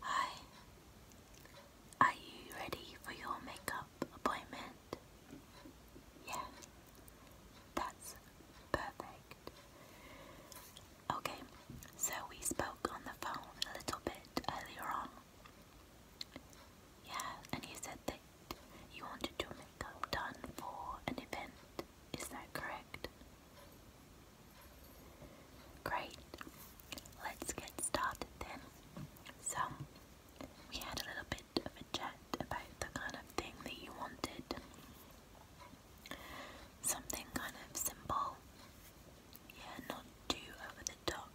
Hi. Are you ready for your makeup appointment? Yeah. That's perfect. Okay, so we spoke on the phone a little bit earlier on. Yeah, and you said that you wanted your makeup done for an event. Is that correct? Great. Let's get started then. So, we had a little bit of a chat about the kind of thing that you wanted. Something kind of simple. Yeah, not too over the top.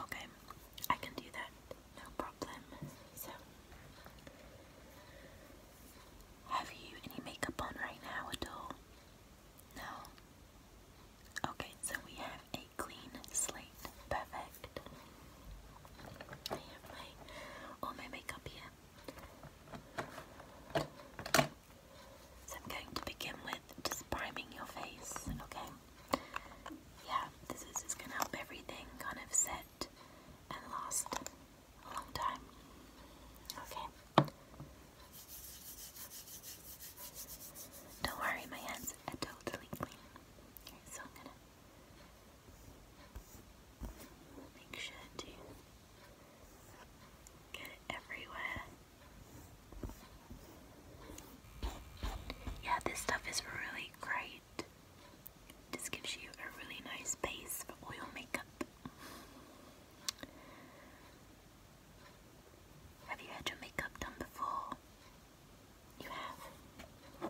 Okay, I can do that. No problem. So, have you any makeup on right now at all? No? Okay, so we have a clean slate. Perfect. I have my all my makeup here. So going to begin with just priming your face, okay? Yeah, this is just gonna help everything kind of set and last a long time. Okay. Don't worry, my hands are totally clean. so I'm gonna make sure to get it everywhere. Yeah, this stuff is really great just gives you a really nice base for oil makeup. Have you had your makeup done before? You have?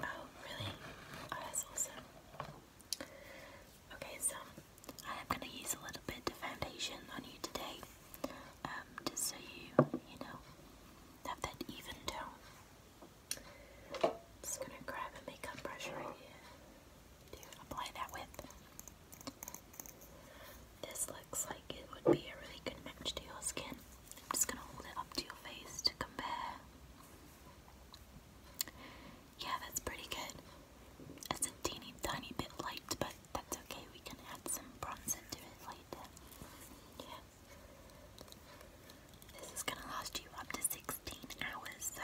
Oh, really? Oh, that's awesome. Okay, so I am going to use a little bit of foundation on you today, um, just so you, you know, have that even tone. I'm just gonna grab a makeup brush right here to apply that with. This looks like it would be a really good match to your skin. I'm just gonna hold it up to your face to compare. Yeah, that's pretty good. It's a teeny tiny bit light, but that's okay. We can add some bronzer to it later. This is going to last you up to 16 hours, so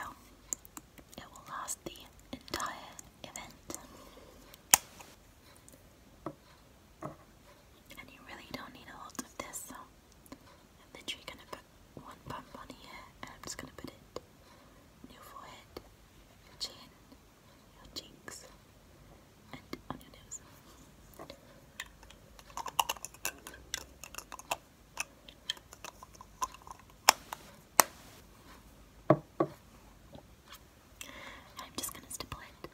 it will last the entire event. And you really don't need a lot of this, so I'm literally going to put one pump on here, and I'm just going to put it on your forehead, chin, your cheeks, and on your nose. I'm just going to stipple it.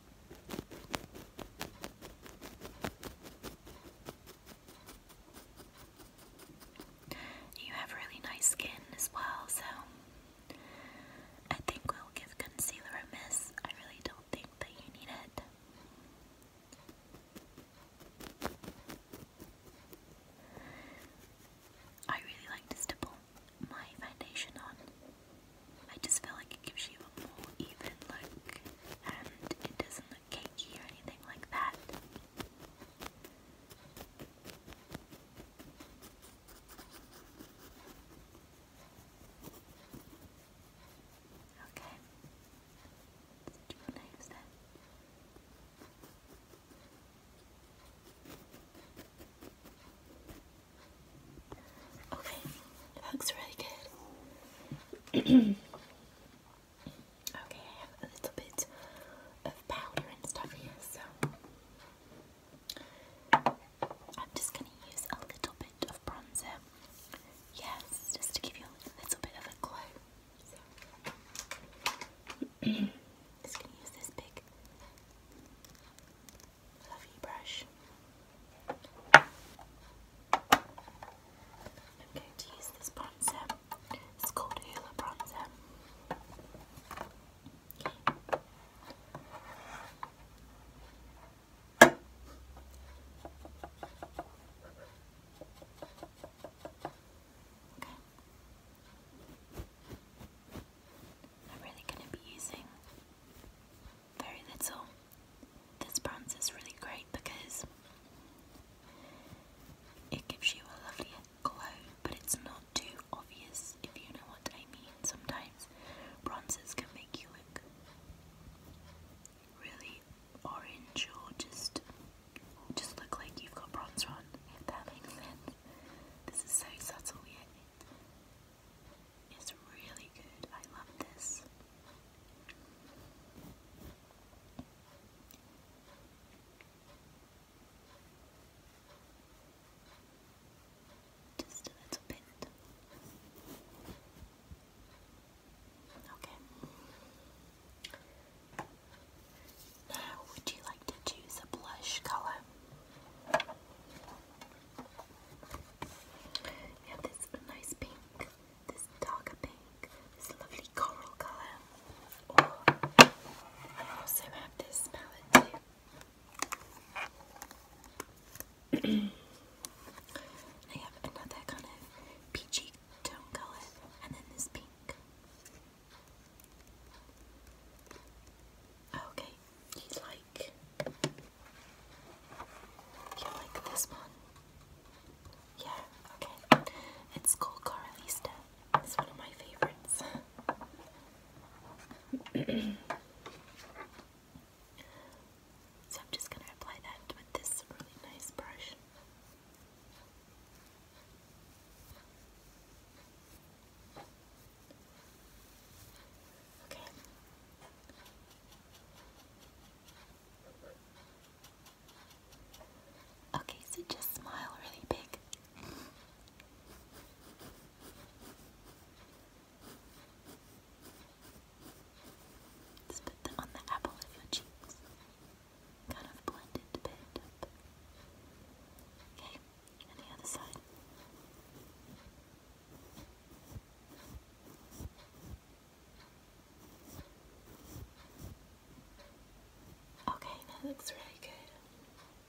You have really nice skin as well, so I think we'll give concealer a miss. I really don't think that you need it. I really like to stipple my foundation on. I just feel like it gives you a more even look and it doesn't look cakey or anything like that. Okay. Do your names then. Okay, looks really good. okay, I have a little bit of powder and stuff here, so I'm just going to use a little bit of bronzer Yes, just to give you a little bit of a clue. just going to use this big fluffy brush. I'm going to use this bronzer. It's called Hoola Bronzer. Okay. I'm really going to be using very little. This bronzer is really great because it gives you a lovely glow, but it's not too obvious if you know what I mean. Sometimes bronzers can be really orange or just just look like you've got bronzer on, if that makes sense. This is so subtle yet it's really good. I love this. Just a little bit. Okay. Now, would you like to choose a blush colour? Yeah, this nice pink, this darker pink, this lovely coral colour. Or I also have this palette I have another kind of peachy tone color, and then this pink. Okay, you like you like this one? Yeah, okay. It's called Coralista. It's one of my favorites. So I'm just going to apply that with this really nice brush. Okay. Okay, so just smile really big. Let's on the apple of your cheeks. Kind of blend bit Okay, and the other side. Okay, that looks really good so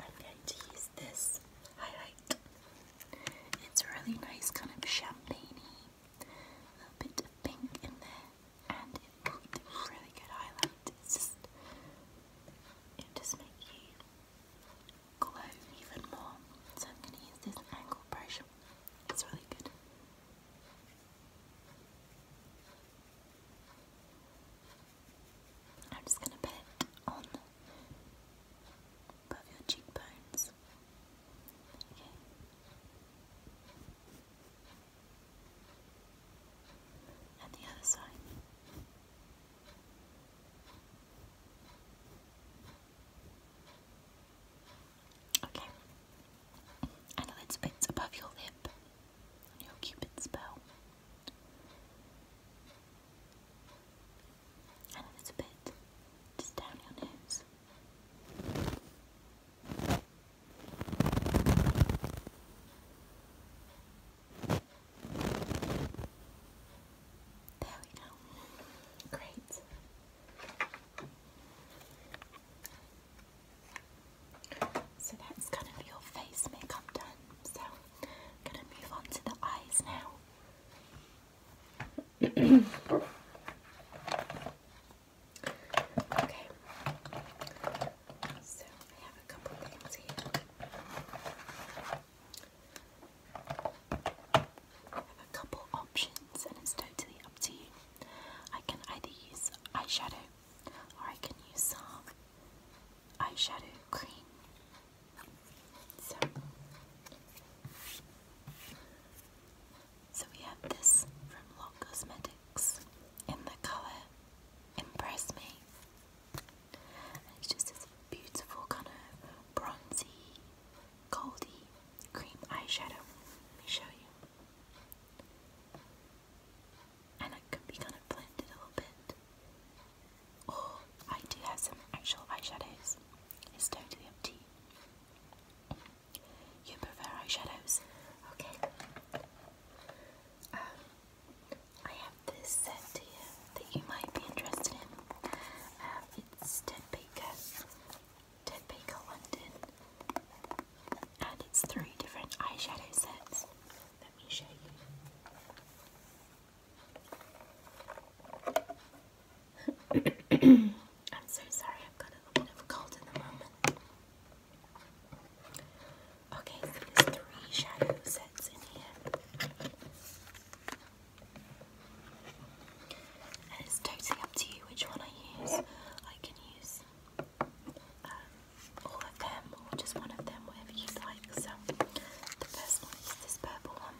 I'm going to use this highlight. It's a really nice kind of champagne a little bit of pink in there and it's a really good highlight. It's just, just make you glow even more. So I'm going to use this angle brush. It's really good. I'm just going to put it on above your cheekbones. Okay. And the other side. Okay. And a little bit above your lip your cupid's bow. And a little bit just down your nose. There we go. Great. So that's kind of your face makeup done. So going to move on to the eyes now. okay. So I have a couple things here a couple options and it's totally up to you. I can either use eyeshadow or I can use some eyeshadow cream. So, so we have this from Lot Cosmetics in the colour Impress Me it's just this beautiful kind of bronzy, goldy cream eyeshadow. Let me show you. And it could be kind of blended a little bit. Or I do have some actual eyeshadows. It's totally up you. prefer eyeshadows? Okay. Um, I have this set here that you might be interested in. Um, it's Ted Baker, Ted Baker London, and it's three different eyeshadow sets. Let me show you. I'm so sorry, I've got a little cold at the moment. Okay, there's three shadow sets in here. And totally up to you which one I use. I can use um, all of them or just one of them, whatever you like. So the first one is this purple one.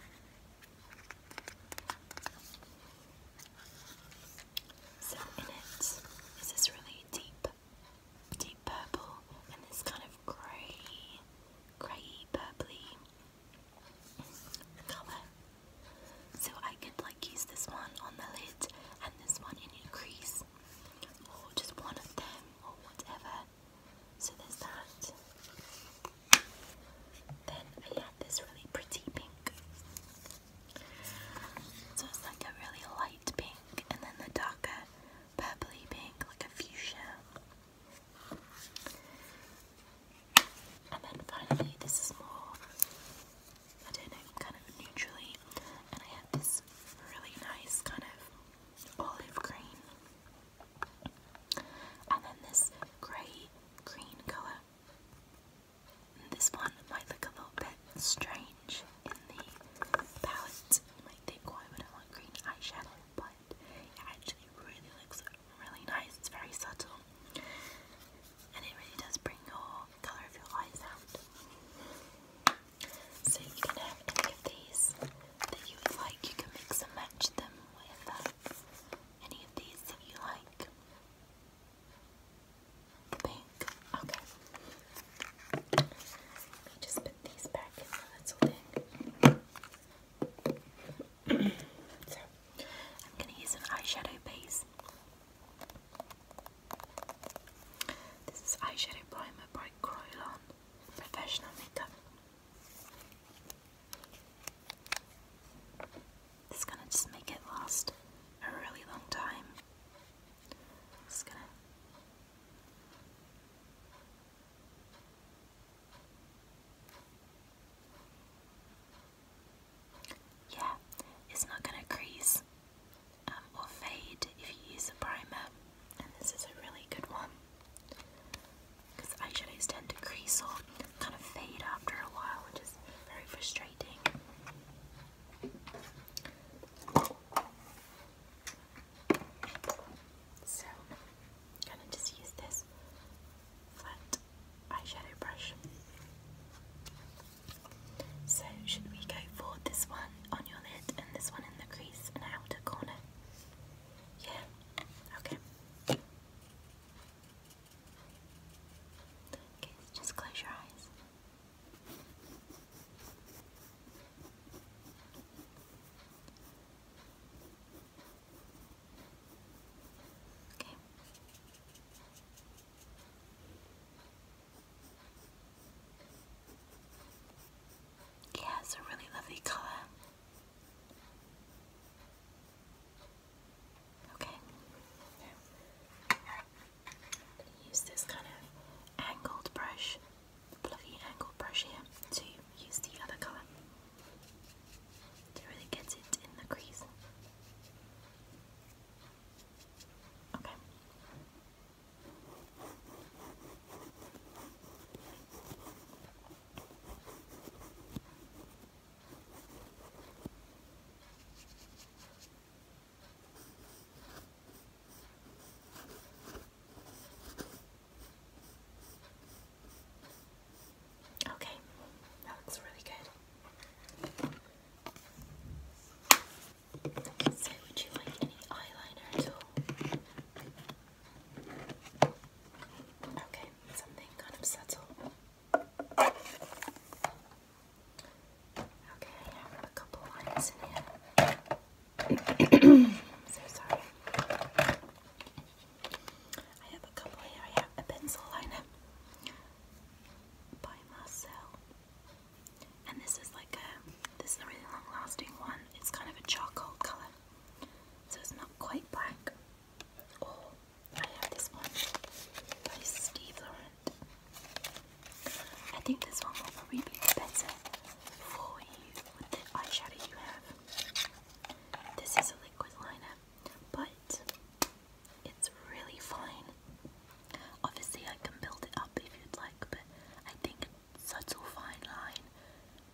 So in it is this really deep deep purple and this kind of grey, grey purpley colour. So I could like use this one on the lid and this one in your crease, or just one of them, or whatever. So there's that. Then I had this really pretty pink. So it's like a really light pink, and then the darker purpley pink, like a fuchsia. And then finally, this is more, kind of neutrally. And I have this really nice kind of olive green. And then this grey green colour. this one might look a little bit strange in the palette. You think, why would I want green eyeshadow? But it actually really looks really nice. It's very subtle. And it really does bring your colour of your eyes out. So you can have any of these that you would like. You can mix and match them with any of these that you like. The pink. Okay. I'm going to use an eyeshadow base. This is Eyeshadow Primer by Croylon Professional Makeup. This is going to just make it last a really long time. Yeah, it's not going to crease um, or fade if you use a primer, and this is a really good one because eyeshadows tend to crease or kind of fade after a while, which is very frustrating. So, gonna just use this flat eyeshadow brush. So, should we go for this one on your lid and this one in the crease and outer corner? Yeah? Okay. Okay, just close your eyes. Okay. Yeah, it's a really lovely color. Okay. I'm use this kind of angled brush, fluffy angled brush here, to use the other colour to really get it in the crease. Okay, Okay, that looks really good. So, would you like any eyeliner at Okay, something kind of subtle. Okay, I have a couple lines in here. so sorry. I have a couple here. I have a pencil liner by Marcel. And this is like a, this is a really long lasting one. It's kind of a charcoal colour. So it's not quite black. Or I have this one by Steve I think this one will probably be better for you with the eyeshadow you have. This is a liquid liner, but it's really fine. Obviously, I can build it up if you'd like, but I think subtle fine line,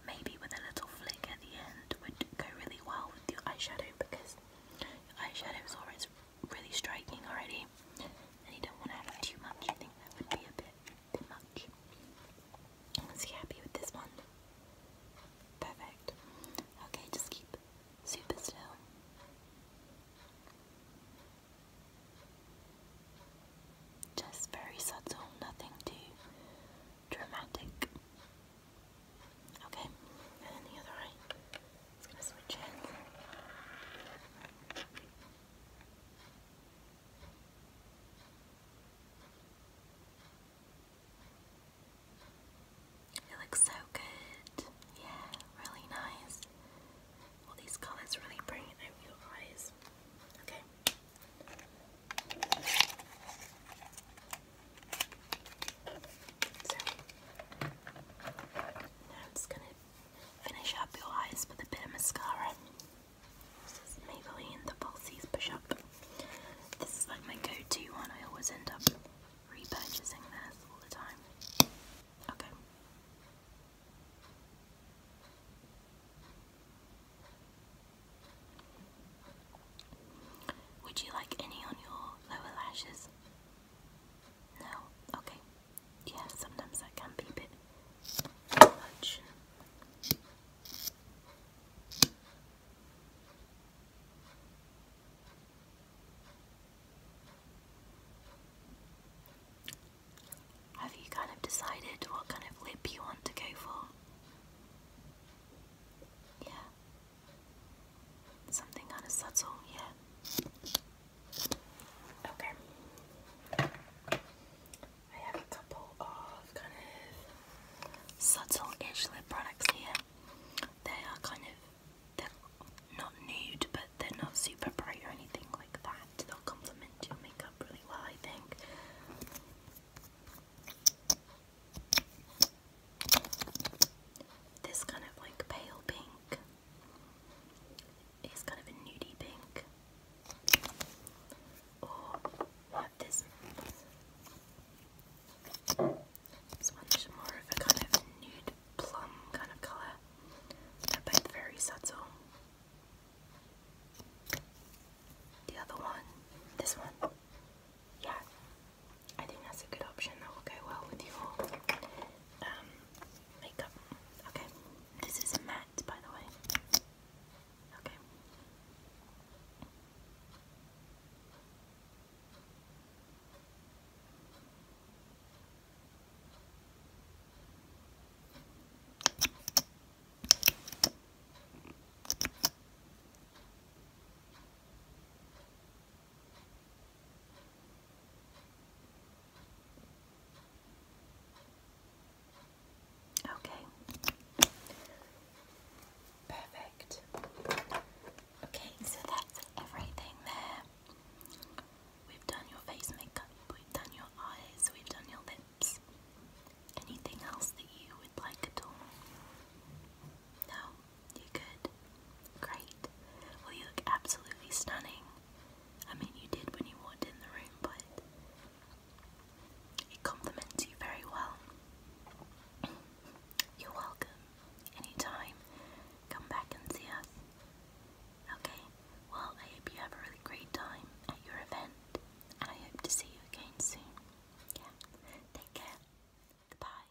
maybe with a little flick at the end, would go really well with your eyeshadow because your eyeshadow is always really striking already, and you don't want to have too much. I think that would be a bit, bit much. Was he happy with this one? Perfect. Okay, just keep super still. Just very subtle, nothing too dramatic. Okay, and the other eye. It's gonna switch It looks so good. Yeah, really nice. All these colors really bring out your eyes. Okay. So now I'm just gonna Finish up your eyes with a bit of mascara. Maybelline the Falsies Push Up. This is like my go-to one. I always end up repurchasing this all the time. Okay. Would you like any on your lower lashes? No? Okay yeah, sometimes that can be a bit much. Have you kind of decided what kind of lip you want to go for? Yeah. Something kind of subtle, yeah. Okay. I have a couple of kind of subtle-ish lip products here. They are kind of not nude, but they're not super bright or anything like that. They'll complement your makeup really well, I think. This kind of like pale pink it's kind of a nudie pink. Or oh, this. This one's more of a kind of nude plum kind of colour. They're both very subtle. The other one, this one, yeah, I think that's a good option that will go well with your um, makeup. Okay, this is matte by the way. Okay. Okay. Perfect. Okay, so that's everything there. We've done your face makeup, we've done your eyes, we've done your lips. Anything else that you would like at all? No? You good? Great. Well, you look absolutely stunning. I mean, you did when you walked in the room, but it complements you very well. You're welcome. Anytime. Come back and see us. Okay, well, I hope you have a really great time at your event, and I hope to see you again soon. Yeah, take care. Goodbye.